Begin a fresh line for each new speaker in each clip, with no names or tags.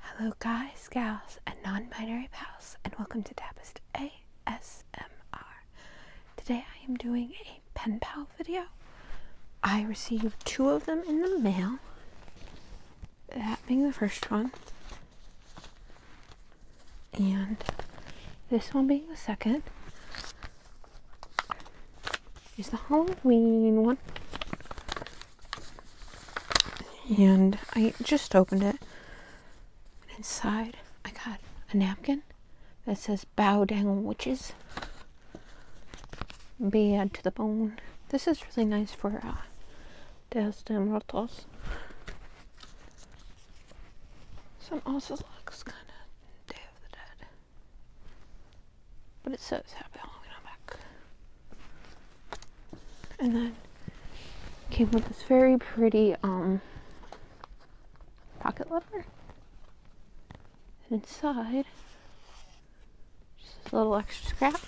Hello, guys, gals, and non binary pals, and welcome to Tapist ASMR. Today I am doing a pen pal video. I received two of them in the mail, that being the first one, and this one being the second. Is the Halloween one? and I just opened it. And inside, I got a napkin that says "Bow down, witches." Bad to the bone. This is really nice for uh, Dias de Muertos. Some also looks kind of Day of the Dead, but it says Happy Halloween on back. And then came with this very pretty um, pocket leather. And inside, just a little extra scrap.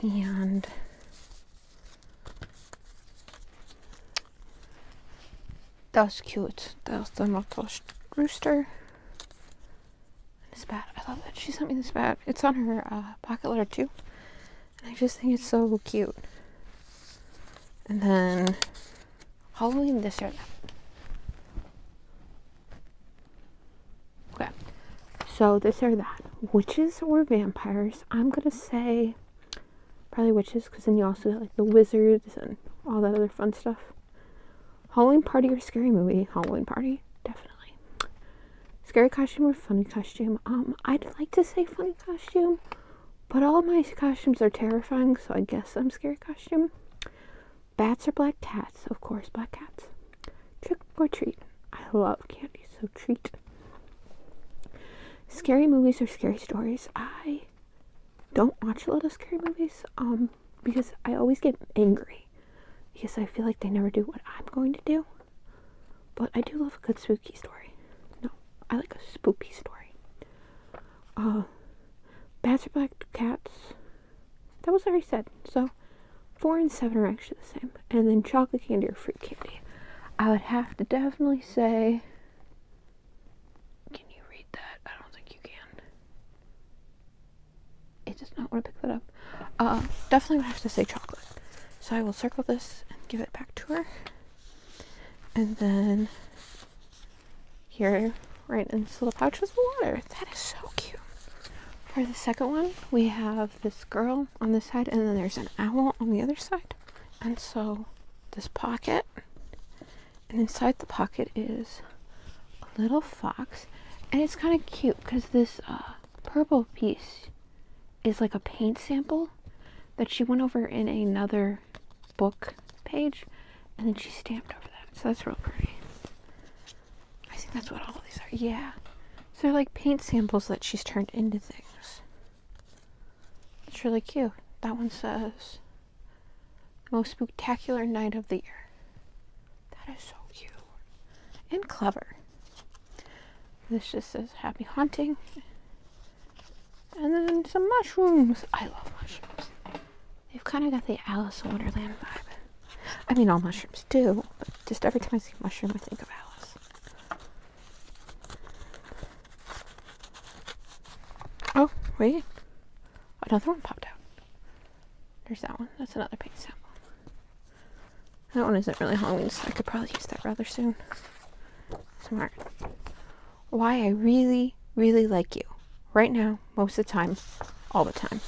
And that's cute. That's the Mottosh rooster. This bat. I love that she sent me this bat. It's on her uh, pocket letter too. And I just think it's so cute. And then Halloween this year. Okay. So this or that. Witches or vampires. I'm gonna say probably witches because then you also get like the wizards and all that other fun stuff. Halloween party or scary movie? Halloween party, definitely. Scary costume or funny costume? Um, I'd like to say funny costume, but all my costumes are terrifying, so I guess I'm scary costume. Bats or black cats? Of course, black cats. Trick or treat? I love candy, so treat. Scary movies or scary stories? I don't watch a lot of scary movies, um, because I always get angry spooky because I feel like they never do what I'm going to do. But I do love a good spooky story. No, I like a spooky story. Uh, bats or black cats. That was already said. So, four and seven are actually the same. And then chocolate candy or fruit candy. I would have to definitely say. Can you read that? I don't think you can it does not want to pick that up. Uh, definitely would have to say chocolate. So I will circle this and give it back to her. And then here, right in this little pouch, was water. That is so cute. For the second one, we have this girl on this side, and then there's an owl on the other side. And so this pocket, and inside the pocket is a little fox and it's kind of cute because this uh, purple piece is like a paint sample that she went over in another book page and then she stamped over that so that's real pretty i think that's what all these are yeah so they're like paint samples that she's turned into things it's really cute that one says most spectacular night of the year that is so cute and clever. This just says happy haunting. And then some mushrooms. I love mushrooms. They've kind of got the Alice in Wonderland vibe. I mean, all mushrooms do, but just every time I see mushroom, I think of Alice. Oh, wait. Another one popped out. There's that one. That's another paint sample. That one isn't really Halloween, so I could probably use that rather soon. Smart. Why I really, really like you. Right now, most of the time, all the time.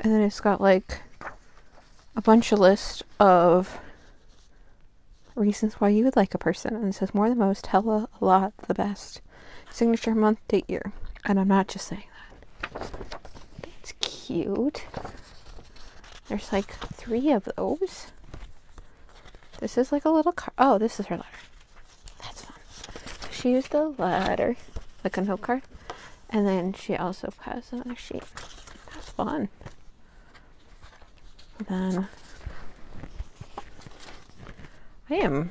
And then it's got like a bunch of list of reasons why you would like a person and it says more than most hell a lot the best signature month, date, year. And I'm not just saying that. That's cute. There's like three of those. This is like a little card. Oh, this is her letter. That's fun. She used a letter, like a note card. And then she also has another sheet. That's fun. then I am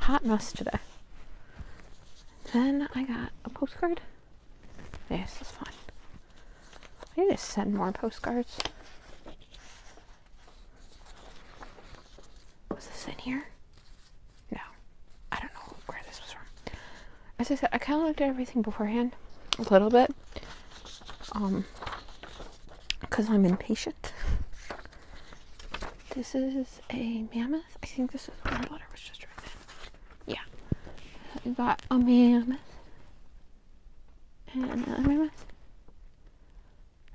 hot mess today. Then I got a postcard. This is fine. I need to send more postcards. Was this in here? No. I don't know where this was from. As I said, I kind of looked at everything beforehand a little bit. Um, because I'm impatient. This is a mammoth. I think this is where my daughter was just drinking. Yeah. we got a mammoth. And another mammoth.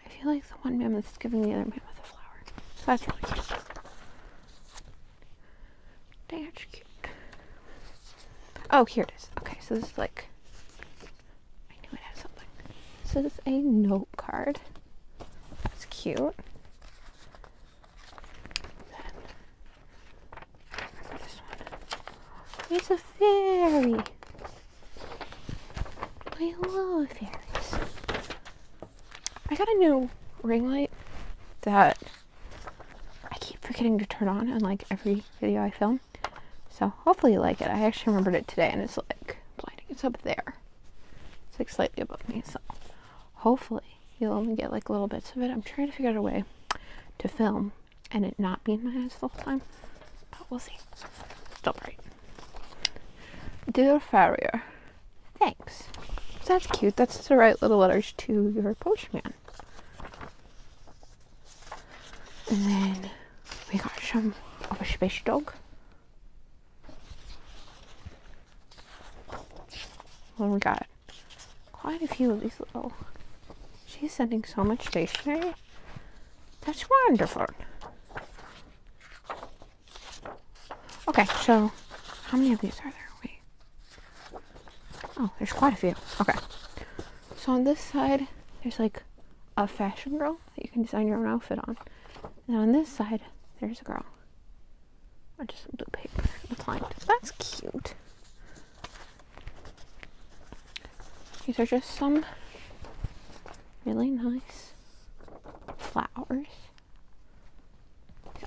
I feel like the one mammoth is giving the other mammoth a flower. So that's really cute. That's cute. Oh, here it is. Okay, so this is like I knew it had something. So this is a note card. That's cute. Then It's a fairy. I love fairies. I got a new ring light that I keep forgetting to turn on on like every video I film. So hopefully you like it. I actually remembered it today and it's like blinding. It's up there. It's like slightly above me. So hopefully you'll only get like little bits of it. I'm trying to figure out a way to film and it not be in my eyes the whole time. But we'll see. Still bright. Dear Farrier, thanks. that's cute. That's the right little letters to your postman. And then we got some of a special dog. Oh, we got quite a few of these little. She's sending so much stationery. That's wonderful. Okay, so how many of these are there? Wait. Oh, there's quite a few. Okay. So on this side, there's like a fashion girl you can design your own outfit on. And on this side, there's a girl. Just some blue paper. It's That's cute. These are just some really nice flowers.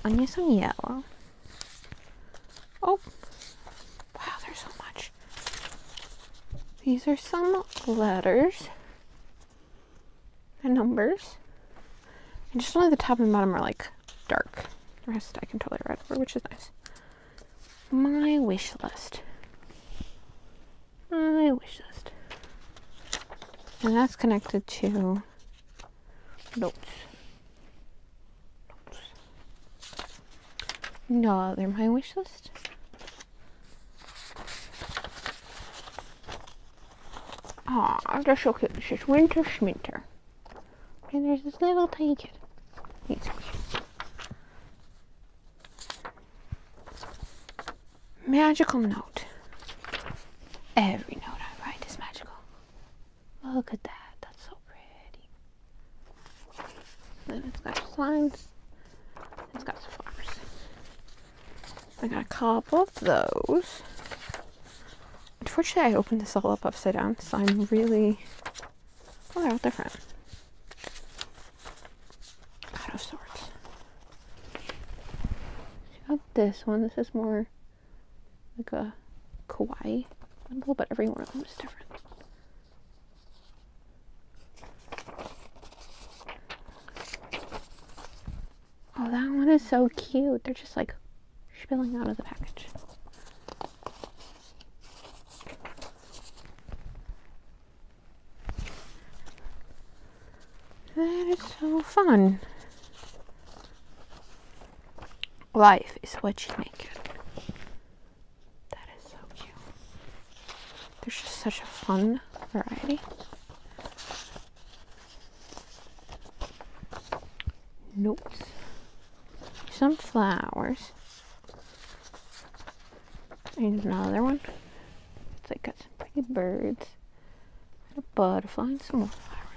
Onions some yellow. Oh, wow, there's so much. These are some letters and numbers. And just only the top and bottom are like dark. The rest I can totally read which is nice. My wish list. My wish list. And that's connected to notes. Notes. No, they're my wish list. Ah, oh, they're so cute. winter schminter. And there's this little tiny kid. Magical note. Every note I write is magical. Look at that. That's so pretty. It's got slimes. It's got some flowers. I got a couple of those. Unfortunately, I opened this all up upside down, so I'm really... Well, they're all different. Out of sorts. Got this one. This is more like a kawaii. A little bit every one of them is different. Oh, that one is so cute. They're just like spilling out of the package. That is so fun. Life is what you make it. That is so cute. There's just such a fun variety. Notes. Some flowers. Here's another one. It's like got some pretty birds. a butterfly and some more flowers.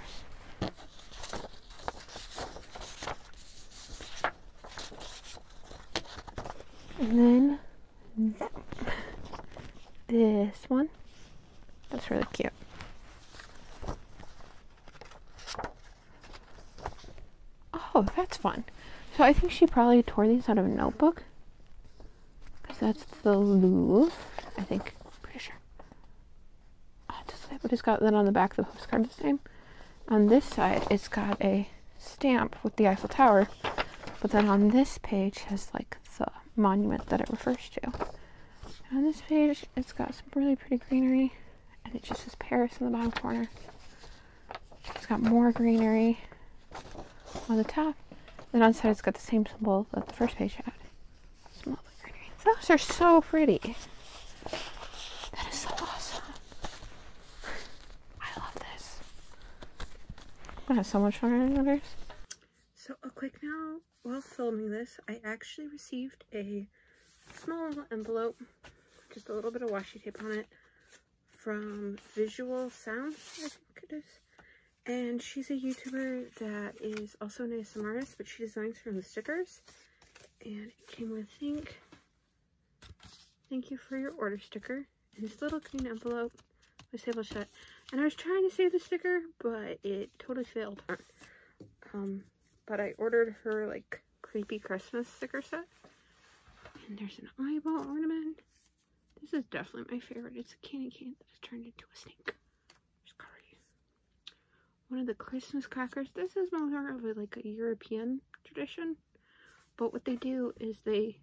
And then this one. That's really cute. Oh, that's fun. So I think she probably tore these out of a notebook. Because that's the Louvre, I think. Pretty sure. Oh, does it, but he has got that on the back of the postcard the same. On this side, it's got a stamp with the Eiffel Tower, but then on this page has like the monument that it refers to. on this page, it's got some really pretty greenery, and it just says Paris in the bottom corner. It's got more greenery on the top. and on the side, it's got the same symbol that the first page had. Those are so pretty. That is so awesome. I love this. I have so much fun in others. So a quick now while filming this, I actually received a small envelope, just a little bit of washi tape on it, from Visual Sound, I think it is. And she's a YouTuber that is also an ASMR artist, but she designs her own stickers. And it came with, I think, Thank you for your order sticker. And this little green envelope was table shut. And I was trying to save the sticker, but it totally failed. Um, but I ordered her like creepy Christmas sticker set. And there's an eyeball ornament. This is definitely my favorite. It's a candy cane that has turned into a snake. Sorry. One of the Christmas crackers. This is more of a, like a European tradition. But what they do is they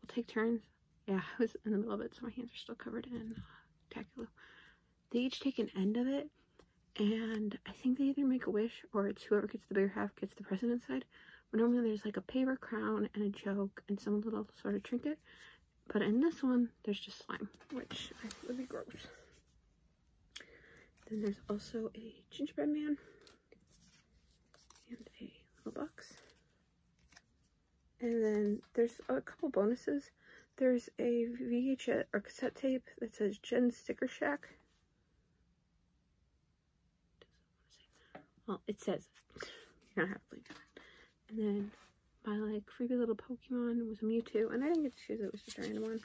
will take turns. Yeah, I was in the middle of it, so my hands are still covered in uh, tacky glue. They each take an end of it, and I think they either make a wish or it's whoever gets the bigger half gets the present inside. But normally there's like a paper crown and a joke and some little sort of trinket. But in this one, there's just slime, which would be gross. Then there's also a gingerbread man and a little box. And then there's a couple bonuses. There's a VHS or cassette tape that says Gen Sticker Shack. Well, it says you're going have to believe And then my like creepy little Pokemon was a Mewtwo, and I didn't get to choose it, it was just a random one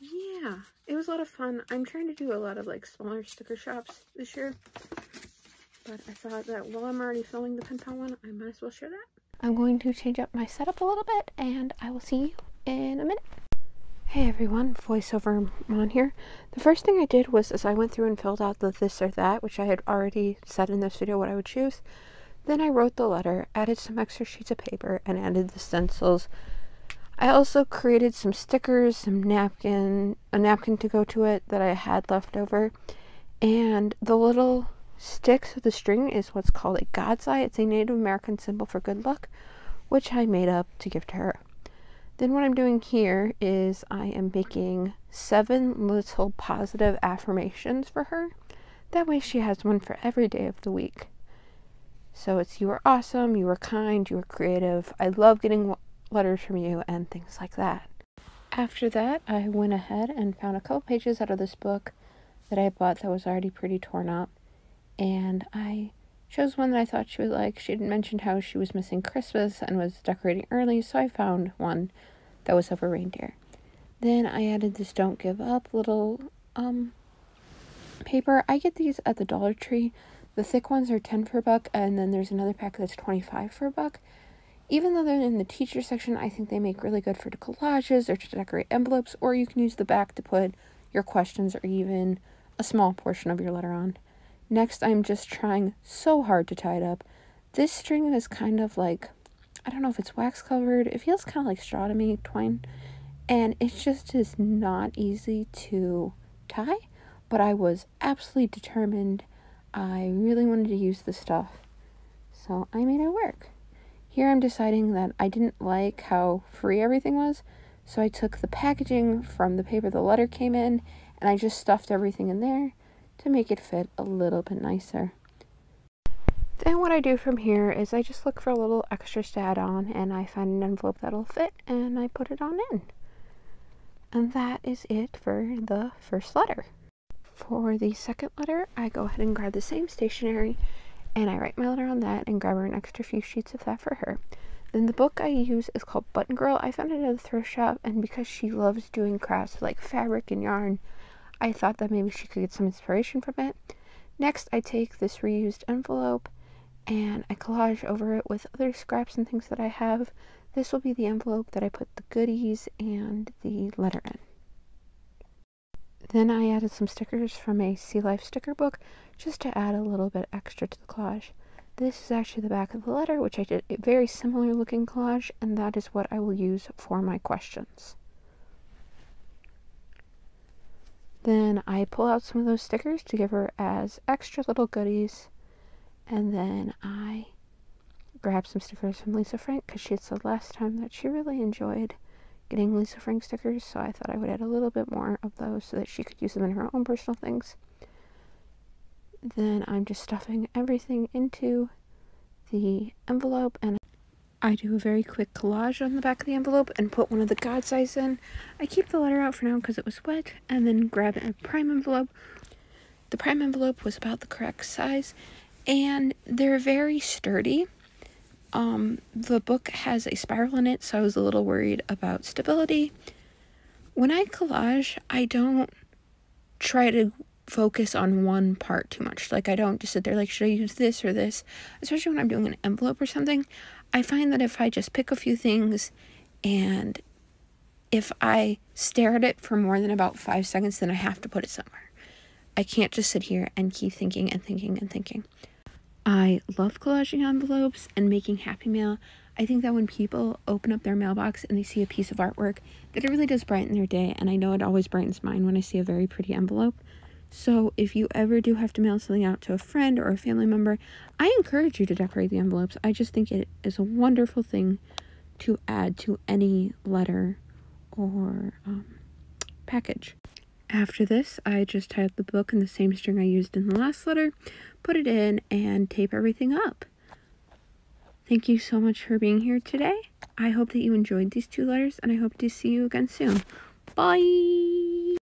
yeah, it was a lot of fun. I'm trying to do a lot of like smaller sticker shops this year. But I thought that while I'm already filling the pen one, I might as well share that. I'm going to change up my setup a little bit and I will see you in a minute. Hey everyone, voiceover on here. The first thing I did was as I went through and filled out the this or that, which I had already said in this video what I would choose. Then I wrote the letter, added some extra sheets of paper, and added the stencils. I also created some stickers, some napkins, napkin, a napkin to go to it that I had left over. And the little stick with the string is what's called a God's Eye. It's a Native American symbol for good luck, which I made up to give to her. Then what I'm doing here is I am making seven little positive affirmations for her. That way she has one for every day of the week. So it's you are awesome, you are kind, you are creative. I love getting letters from you and things like that. After that, I went ahead and found a couple pages out of this book that I bought that was already pretty torn up. And I chose one that I thought she would like. She had mentioned how she was missing Christmas and was decorating early, so I found one that was of a reindeer. Then I added this Don't Give Up little um, paper. I get these at the Dollar Tree. The thick ones are 10 for a buck, and then there's another pack that's 25 for a buck. Even though they're in the teacher section, I think they make really good for collages or to decorate envelopes, or you can use the back to put your questions or even a small portion of your letter on. Next, I'm just trying so hard to tie it up. This string is kind of like, I don't know if it's wax covered. It feels kind of like straw to me, twine. And it just is not easy to tie but I was absolutely determined. I really wanted to use the stuff, so I made it work. Here I'm deciding that I didn't like how free everything was, so I took the packaging from the paper the letter came in and I just stuffed everything in there to make it fit a little bit nicer. Then what I do from here is I just look for a little extras to add on and I find an envelope that'll fit and I put it on in. And that is it for the first letter. For the second letter, I go ahead and grab the same stationery and I write my letter on that and grab her an extra few sheets of that for her. Then the book I use is called Button Girl. I found it at a thrift shop and because she loves doing crafts like fabric and yarn, I thought that maybe she could get some inspiration from it. Next, I take this reused envelope and I collage over it with other scraps and things that I have. This will be the envelope that I put the goodies and the letter in. Then I added some stickers from a Sea Life sticker book just to add a little bit extra to the collage. This is actually the back of the letter, which I did a very similar looking collage, and that is what I will use for my questions. Then I pull out some of those stickers to give her as extra little goodies. And then I grab some stickers from Lisa Frank because she had said last time that she really enjoyed getting Lisa Frank stickers. So I thought I would add a little bit more of those so that she could use them in her own personal things. Then I'm just stuffing everything into the envelope and I do a very quick collage on the back of the envelope and put one of the God's Eyes in I keep the letter out for now because it was wet, and then grab a prime envelope. The prime envelope was about the correct size, and they're very sturdy. Um, the book has a spiral in it, so I was a little worried about stability. When I collage, I don't try to focus on one part too much. Like, I don't just sit there, like, should I use this or this? Especially when I'm doing an envelope or something. I find that if I just pick a few things and if I stare at it for more than about five seconds, then I have to put it somewhere. I can't just sit here and keep thinking and thinking and thinking. I love collaging envelopes and making happy mail. I think that when people open up their mailbox and they see a piece of artwork, that it really does brighten their day. And I know it always brightens mine when I see a very pretty envelope. So if you ever do have to mail something out to a friend or a family member, I encourage you to decorate the envelopes. I just think it is a wonderful thing to add to any letter or um, package. After this, I just tied the book in the same string I used in the last letter, put it in, and tape everything up. Thank you so much for being here today. I hope that you enjoyed these two letters, and I hope to see you again soon. Bye!